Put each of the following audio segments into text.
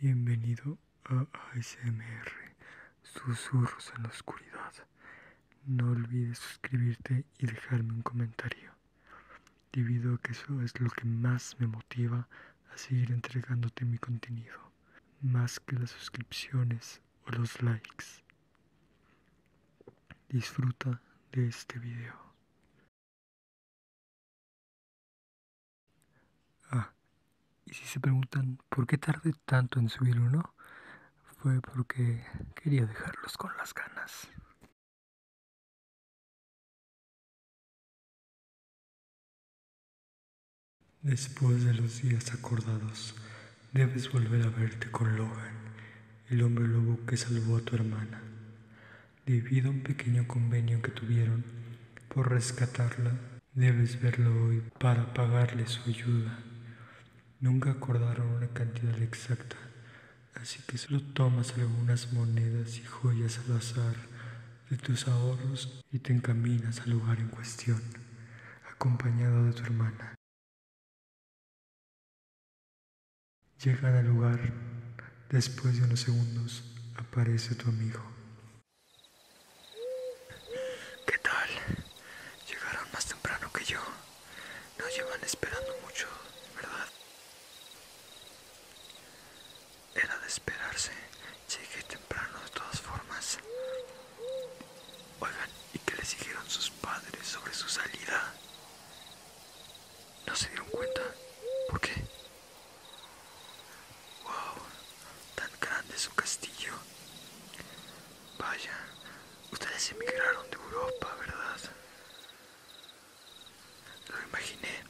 Bienvenido a ASMR, Susurros en la Oscuridad. No olvides suscribirte y dejarme un comentario, debido a que eso es lo que más me motiva a seguir entregándote mi contenido, más que las suscripciones o los likes. Disfruta de este video. Ah, y si se preguntan por qué tardé tanto en subir uno, fue porque quería dejarlos con las ganas. Después de los días acordados, debes volver a verte con Logan, el hombre lobo que salvó a tu hermana debido a un pequeño convenio que tuvieron por rescatarla. Debes verlo hoy para pagarle su ayuda. Nunca acordaron una cantidad exacta, así que solo tomas algunas monedas y joyas al azar de tus ahorros y te encaminas al lugar en cuestión, acompañado de tu hermana. Llegan al lugar. Después de unos segundos aparece tu amigo. ¿Qué tal? Llegaron más temprano que yo. No llevan esperando mucho, ¿verdad? Era de esperarse. Llegué temprano de todas formas. Oigan, ¿y qué les dijeron sus padres sobre su salida? No se dieron cuenta. ¿Por qué? ¡Wow! Tan grande su castillo. Vaya, ustedes emigraron de Europa, ¿verdad? Lo imaginé.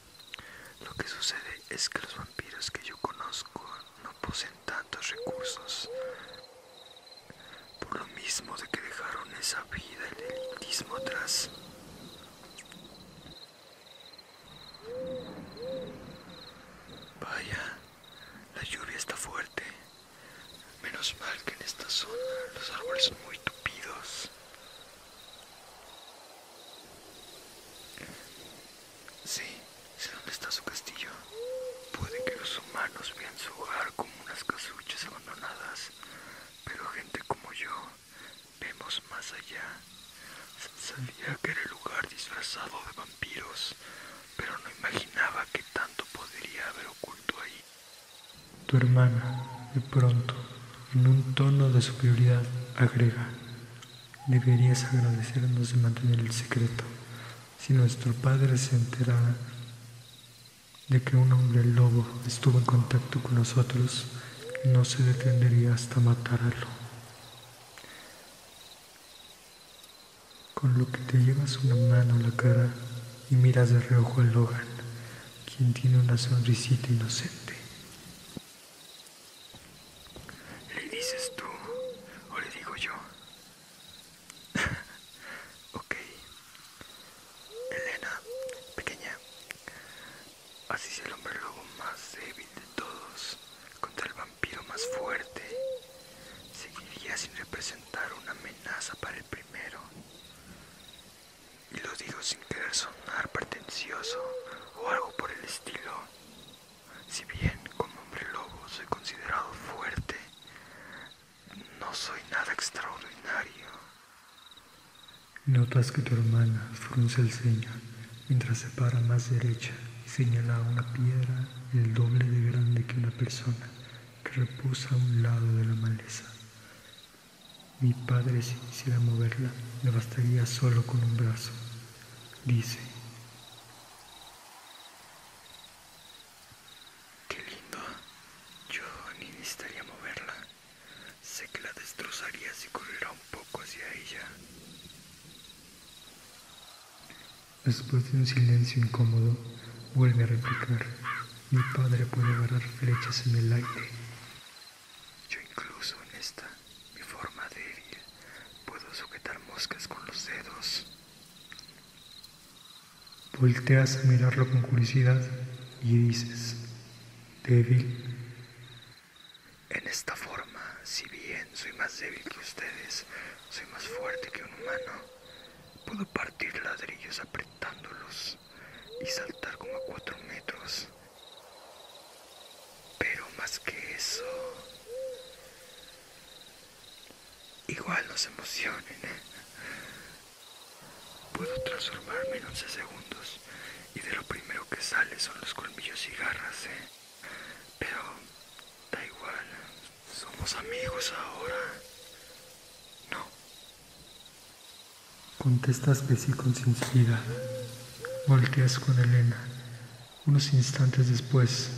Lo que sucede es que los vampiros que yo conozco no poseen tantos recursos por lo mismo de que dejaron esa vida el elitismo atrás. Vaya, la lluvia está fuerte. Menos mal que en esta zona los árboles son muy tupidos. Sí, sé dónde está su castillo. Puede que los humanos vean su hogar como unas casuchas abandonadas, pero gente como yo vemos más allá. Sabía que era el lugar disfrazado de vampiros, pero no imaginaba que tanto podría haber oculto ahí. Tu hermana, de pronto, en un tono de superioridad, agrega, deberías agradecernos de mantener el secreto. Si nuestro padre se enterara, de que un hombre lobo estuvo en contacto con nosotros, no se detendría hasta matarlo. Con lo que te llevas una mano a la cara y miras de reojo a Logan, quien tiene una sonrisita inocente. ¿Le dices tú o le digo yo? ok. Elena, pequeña. Así es el hombre lobo más débil de todos contra el vampiro más fuerte. Seguiría sin representar una amenaza para el primero. Y lo digo sin querer sonar pretencioso o algo por el estilo. Si bien como hombre lobo soy considerado fuerte, no soy nada extraordinario. Notas que tu hermana frunce el ceño mientras se para más derecha y señala una piedra el doble de grande que una persona que reposa a un lado de la maleza. Mi padre si quisiera moverla, me bastaría solo con un brazo. Dice, Qué lindo. Yo ni necesitaría moverla. Sé que la destrozaría si corriera un poco hacia ella. Después de un silencio incómodo, vuelve a replicar. Mi padre puede agarrar flechas en el aire. Yo incluso en esta mi forma débil, puedo sujetar moscas con los dedos. Volteas a mirarlo con curiosidad y dices, débil. En esta forma, si bien soy más débil que ustedes, soy más fuerte que un humano. Puedo partir ladrillos apretándolos y saltar como a cuatro metros. Pero más que eso, igual nos se emocionen. ¿eh? Puedo transformarme en 11 segundos y de lo primero que sale son los colmillos y garras, ¿eh? Pero da igual, somos amigos ahora. No. Contestas que sí con sinceridad. Volteas con Elena. Unos instantes después,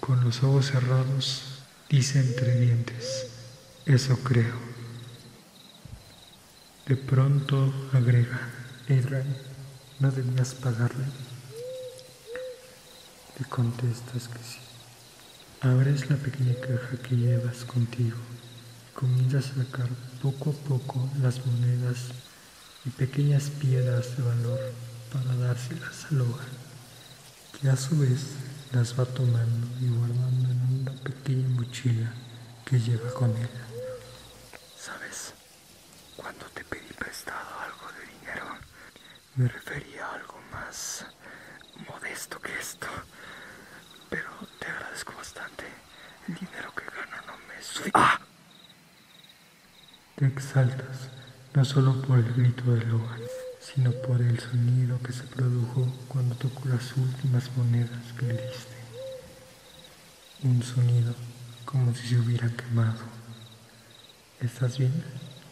con los ojos cerrados, dice entre dientes, eso creo. De pronto agrega, Israel ¿no debías pagarle? Te contestas que sí. Abres la pequeña caja que llevas contigo comienza a sacar poco a poco las monedas y pequeñas piedras de valor para dárselas al hogar, que a su vez las va tomando y guardando en una pequeña mochila que lleva con él. ¿Sabes? Cuando te pedí prestado algo de dinero, me refería a algo más modesto que esto, pero te agradezco bastante. El dinero que gana no me su... Ah. Te exaltas, no solo por el grito de hogar, sino por el sonido que se produjo cuando tocó las últimas monedas que le diste. Un sonido como si se hubiera quemado. ¿Estás bien?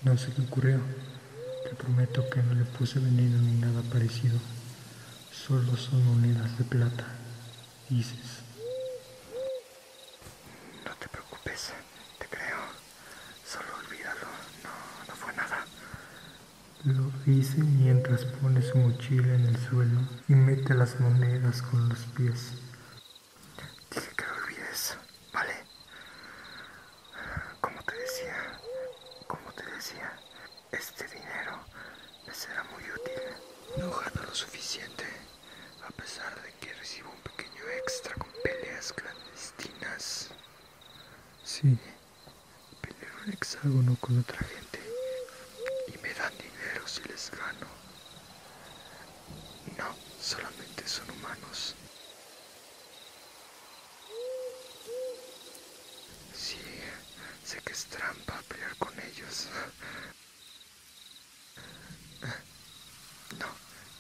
No sé qué ocurrió. Te prometo que no le puse veneno ni nada parecido. Solo son monedas de plata, dices. No te preocupes, te creo. Solo olvídalo, no, no fue nada. Lo dice mientras pone su mochila en el suelo y mete las monedas con los pies. Dice que lo olvides, ¿vale? Como te decía, como te decía, este dinero me será muy útil. No gano lo suficiente, a pesar de que recibo un pequeño extra con peleas clandestinas. Sí, peleo un hexágono con otra gente y me dan dinero si les gano. No, solamente son humanos. Sí, sé que es trampa pelear con ellos. No,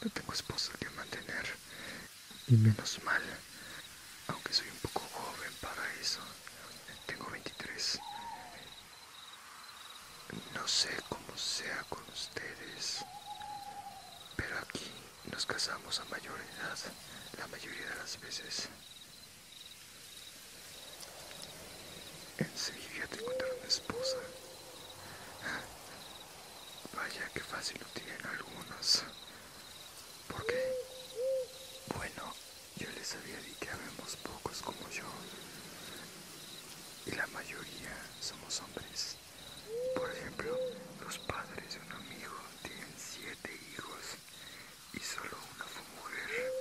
no tengo esposa que mantener. Y menos mal, aunque soy un poco joven para eso. Tengo 23. No sé cómo sea con ustedes, pero aquí nos casamos a mayor edad, la mayoría de las veces. Enseguida te una esposa. Vaya que fácil lo tienen algunos. ¿Por qué? Bueno, yo les había dicho que habemos pocos como yo. Y la mayoría somos hombres. Por ejemplo, los padres de un amigo tienen siete hijos y solo una fue mujer,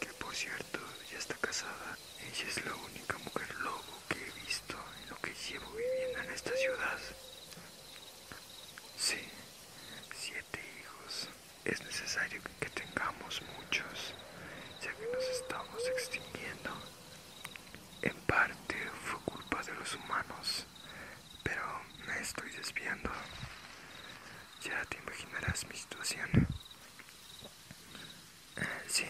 que por cierto ya está casada. Ella es la única mujer lobo que he visto en lo que llevo viviendo en esta ciudad. Sí, siete hijos. Es necesario que tengamos muchos, ya que nos estamos extinguiendo. En parte fue culpa de los humanos, pero me estoy desviando. Ya te imaginarás mi situación. Eh, sí,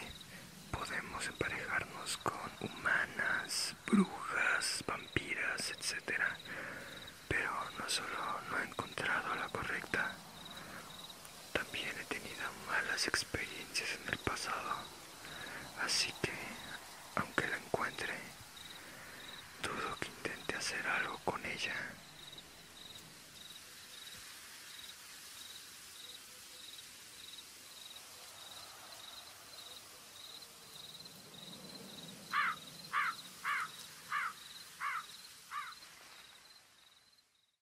podemos emparejarnos con humanas, brujas, vampiras, etc. Pero no solo no he encontrado la correcta, también he tenido malas experiencias en el pasado, así que, aunque la encuentre, dudo que intente hacer algo con ella.